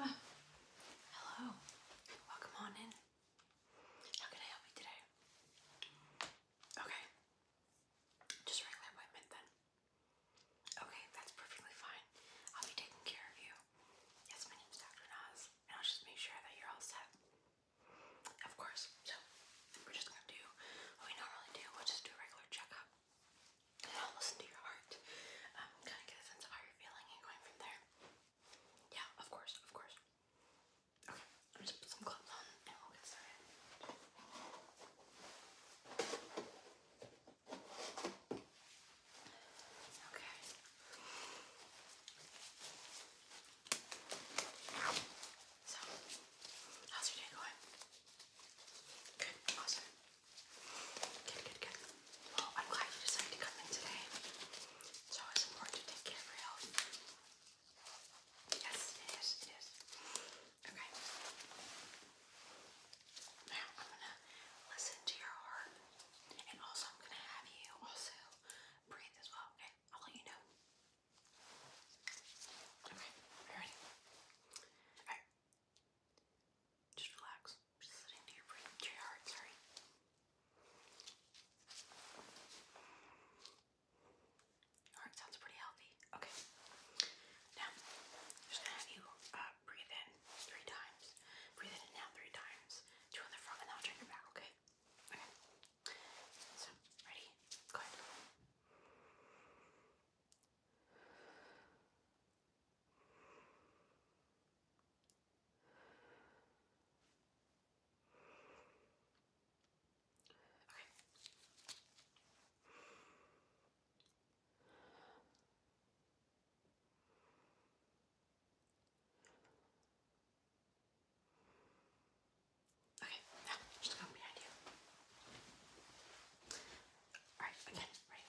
Oh, hello. Welcome on in. How can I help you today? Okay. Just regular appointment then. Okay, that's perfectly fine. I'll be taking care of you. Yes, my name's Dr. Nas, and I'll just make sure that you're all set. Of course. So, we're just gonna do what we normally do, we'll just do a regular checkup. I'll listen to your heart. Um, kind of get a sense of how you're feeling and going from there. Yeah, of course, of course. Okay, I'm just put some on and we'll get started. Okay. So, how's your day going? Good, awesome. Good, good, good. Well, oh, I'm glad you decided to come in today. It's always important to take care of your Yes, it is, it is. Okay. Now I'm gonna listen to your heart, and also I'm gonna have you also breathe as well. Okay, I'll let you know. Okay, you ready? All right. Just relax. Just sit here, breathe into your heart, sorry. Your heart sounds pretty healthy. Okay. Now, just gonna have you uh, breathe in three times. Breathe in and three times. Two on the front and i check your back, okay? Okay. So, ready? Go ahead. Okay. Okay, just come behind you. Alright, again, ready?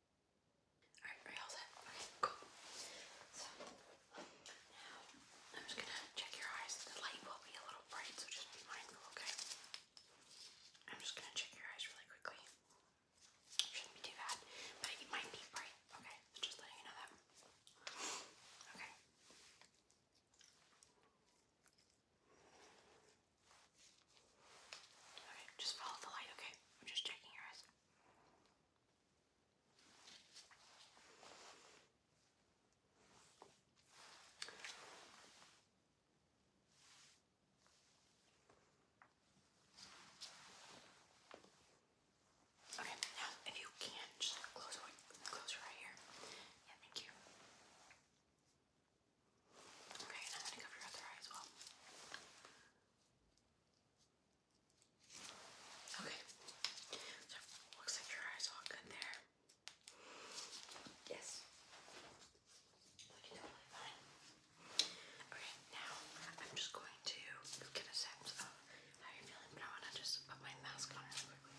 Alright, are you all set? Okay, cool. So, now I'm just gonna check your eyes. The light will be a little bright, so just be mindful, okay? I'm just gonna check your eyes really quickly. Shouldn't be too bad, but it might be bright, okay? just letting you know that. Okay. Okay, just follow the light, okay? I'm just checking your eyes. Okay, now if you can, just close one, close your eye here. Yeah, thank you. Okay, and I'm gonna cover your other eye as well. Okay. looks like your eyes all good there. Yes. Okay, now I'm just going to get a sense of how you're feeling, but I just put my mask on real quickly.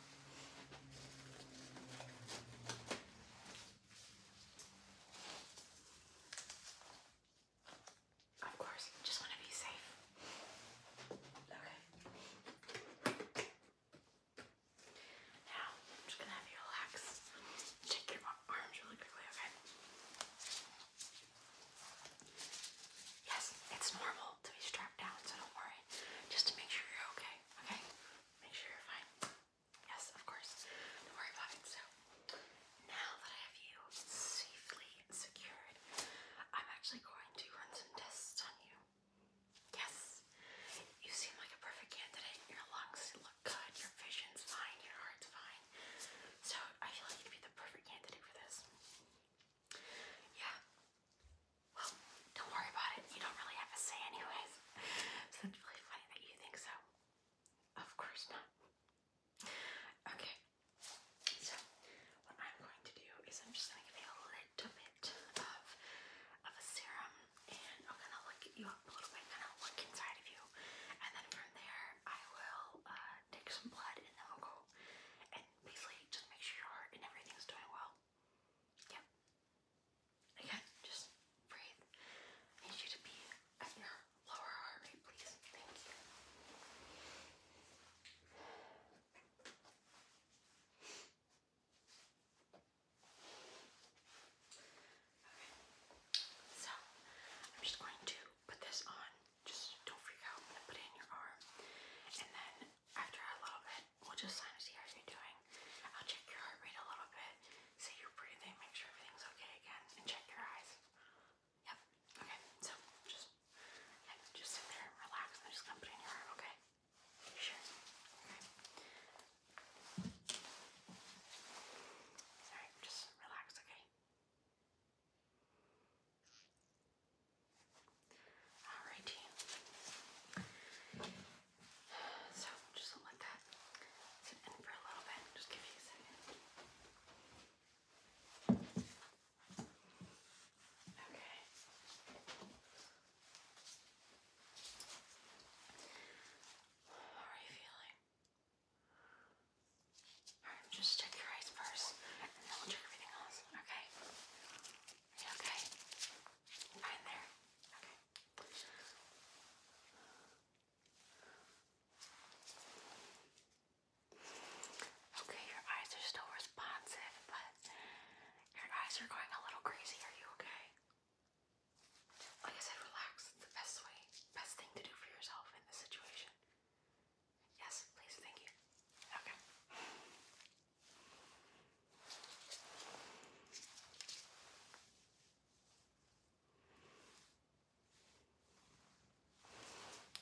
Of course, just want to be safe. Okay. Now, I'm just gonna have you relax. Shake your arms really quickly, okay? Yes, it's normal to be strapped down, so don't worry. Just to make sure you're okay, okay? Make sure you're fine. Yes, of course. Don't worry about it. Now that I have you safely secured, I'm actually going to run some tests on you. Yes, you seem like a perfect candidate. Your lungs look good, your vision's fine, your heart's fine. So I feel like you'd be the perfect candidate for this. Yeah. Well, don't worry about it. You don't really have a say anyways. it's really funny that you think so. Of course not. Okay, so what I'm going to do is I'm just going to give you a little bit of, of a serum and I'm going to look at you up a little bit, kind of look inside of you, and then from there I will uh, take some blood and then we'll go and basically just make sure your heart and everything is doing well. Yep. Again, just breathe. I need you to be at Lower heart rate, please. Thank you. Okay. So, I'm just going to put this on. Just don't freak out. I'm going to put it in your arm. And then, after a little bit, we'll just sign to see how you're doing. I'll check your heart rate a little bit, see your breathing, make sure everything's okay again, and check your eyes. Yep. Okay. So just just sit there relax. I'm just gonna put it in your arm, okay? sure. Okay. Sorry, just relax, okay? Alrighty. So just let that sit in for a little bit. Just give me a second. Okay. Okay. How are you feeling? just check your eyes first, and then we'll check everything else, okay? Are you okay? Fine there? Okay. Okay, your eyes are still responsive, but your eyes are going a little crazy. Are you okay? Like I said, relax. It's the best way, best thing to do for yourself in this situation. Yes, please, thank you. Okay.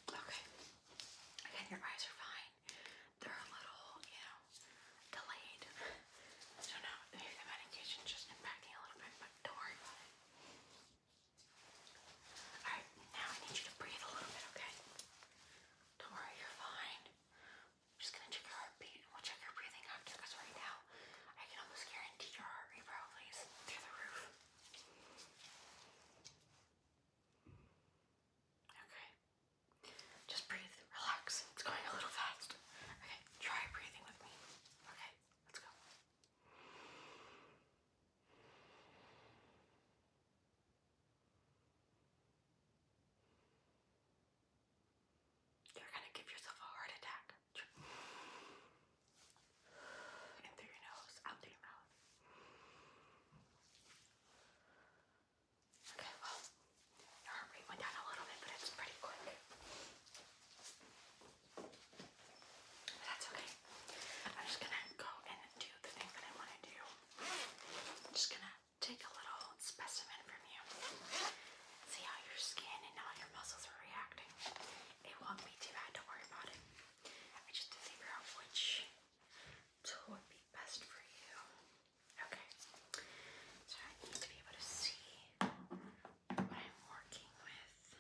Okay. Again, your eyes are fine. They're a little, you know, delayed. So now maybe the medication's just impacting a little bit, but don't worry Alright, now I need you to breathe a little bit, okay? Don't worry, you're fine. I'm just gonna check your heartbeat we'll check your breathing after because right now I can almost guarantee your heart rate is through the roof. Okay. Just breathe, relax. It's going a little fast. Okay, try breathing with me. Okay, let's go. You're gonna give yourself a heart attack. In through your nose, out through your mouth. Okay, well, your heart rate went down a little bit, but it's pretty quick. But that's okay. I'm just gonna go and do the thing that I want to do. I'm just gonna take a little specimen from you, see how your skin and all your muscles are reacting. It won't be too bad, don't worry about it. I just have to figure out which tool would be best for you. Okay. So I need to be able to see what I'm working with.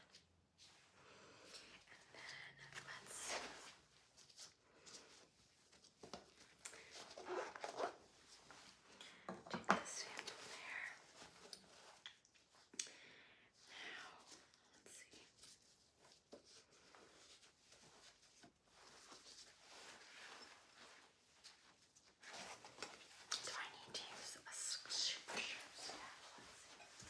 And then let's take this sample there. Now, let Do I need to use a scripture staff? let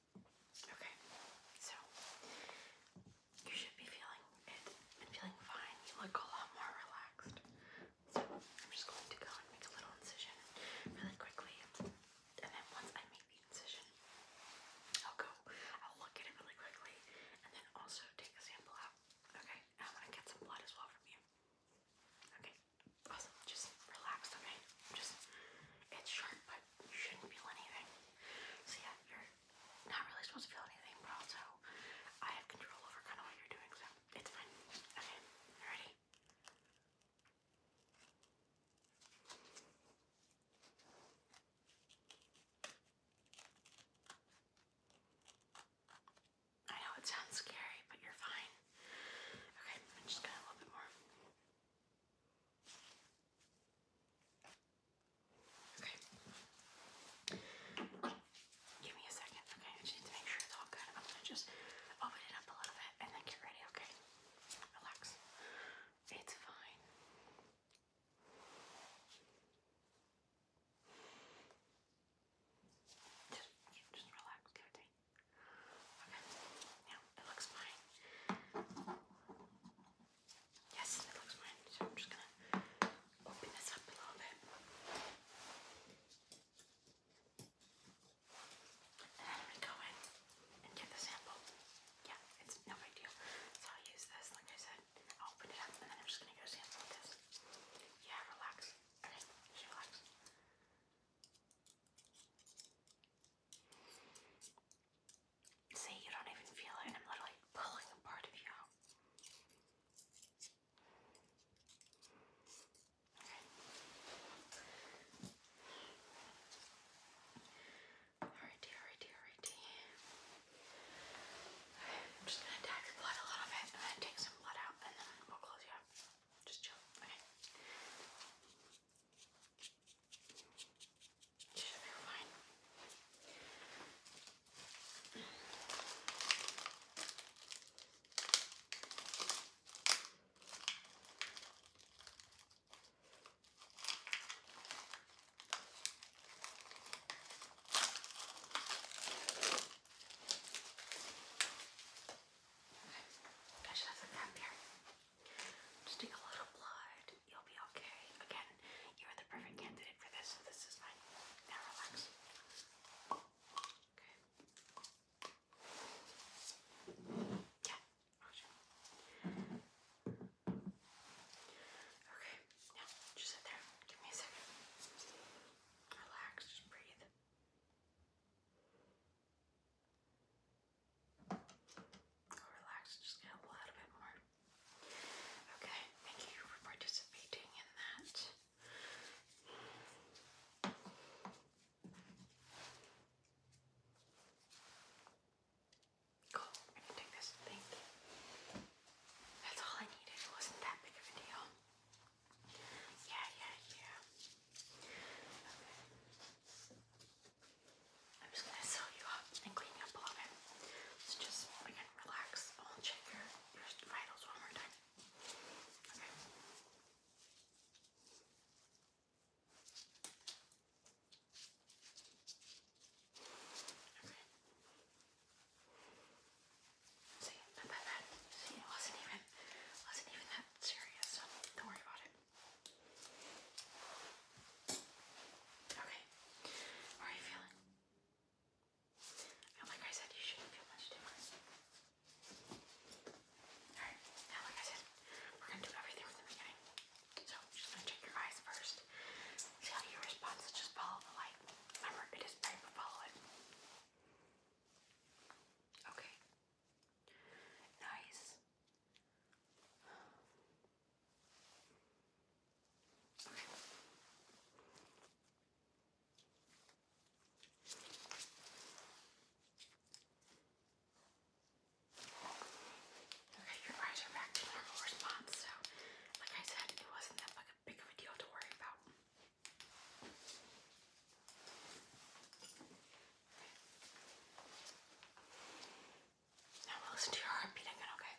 Okay, so you should be feeling it and feeling fine. You look a lot more relaxed. So I'm just going to go and make a little incision really quickly. And then once I make the incision, I'll go, I'll look at it really quickly, and then also take a sample out. Okay, I'm to get some blood as well from you. Okay, awesome. Just relax, okay? Just, it's sharp, but you shouldn't feel anything. So yeah, you're not really supposed to feel anything, but also I have control over kind of what you're doing, so it's fine. Okay, ready? I know it sounds scary, but you're fine. Okay, I'm just gonna a little bit more. Okay. Give me a second, okay? I just need to make sure it's all good. I'm gonna just open it up a little bit and then get ready, okay? Relax. It's fine. Just, just relax, give it to me. Okay, now it looks fine. Yes, it looks fine. So I'm just gonna open this up a little bit. And then i go in and get the sample. Yeah, it's no big deal. So i use this, like I said. open it up and then I'm just gonna go sample this. Yeah, relax. Okay, just relax. See, you don't even feel it, I'm literally pulling a part of you out. Okay. Alrighty, alrighty, alrighty. Okay, I'm just gonna dab your blood a little bit, and take some blood out, and then we'll close you up. Just chill. Okay. Never mind. Okay. I should have some gum here. Just take a little blood. You'll be okay. Again, you're the perfect candidate for this, this is fine. Now relax. Okay. Yeah. Okay. Now, just sit there. Give me a second. Relax. Just breathe. I'll relax just get a bit more. Okay, thank you for participating in that. Cool, I can take this. Thank you. That's all I needed. It wasn't that big of a deal. Yeah, yeah, yeah. Okay. I'm just gonna seal you up and clean you up So just relax. I'll check your, your vitals one more time. Okay. See, it wasn't even wasn't even that serious, so don't worry about it. Okay. How are you feeling? like I said, you shouldn't feel much different. Alright, now like I said, we're gonna do everything from the beginning. So just gonna check your eyes first. See how you respond, so just follow the light. Remember, it is bright, follow it. Okay. Nice. Okay. Okay, your eyes are back to normal response, so like I said, it wasn't that like a big of a deal to worry about. Now we'll listen to your heart okay?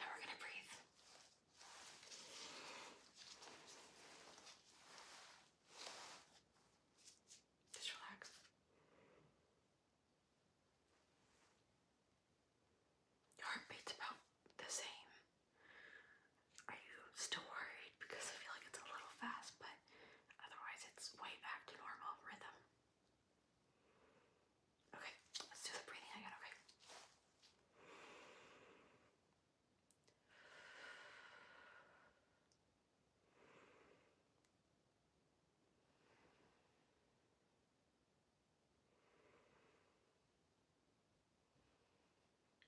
Now we're gonna breathe. Just relax. Your heart about the same. Are you still worried? Because I feel like it's a little fast, but otherwise it's way back to normal rhythm. Okay, let's do the breathing again, okay?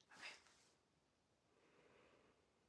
Okay.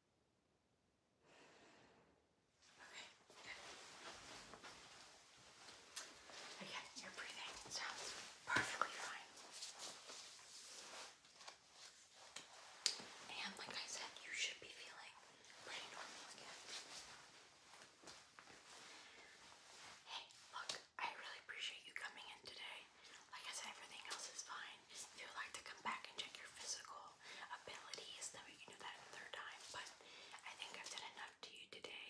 Okay, Again, your breathing sounds perfectly fine. And like I said, you should be feeling pretty normal again. Hey, look, I really appreciate you coming in today. Like I said, everything else is fine. If you would like to come back and check your physical abilities, then we can do that another time. But I think I've done enough to you today.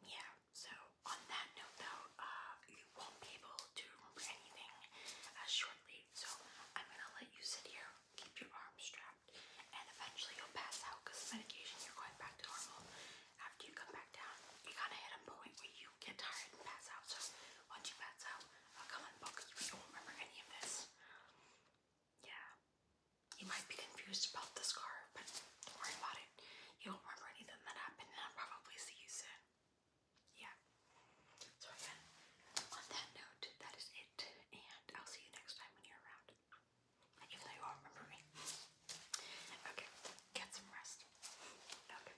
Yeah, so on that note though, uh, you won't be able to remember anything uh, shortly. So I'm gonna let you sit here, keep your arms strapped, and eventually you'll pass out because of medication, you're going back to normal. After you come back down, you kind of hit a point where you get tired and pass out. So once you pass out, a oh, common book you won't remember any of this. Yeah. You might be confused about the scarf, but don't worry about it. You won't remember anything that happened I'll probably see you soon. Yeah. So again, on that note, that is it. And I'll see you next time when you're around. Even though you won't remember me. Okay, get some rest. Okay.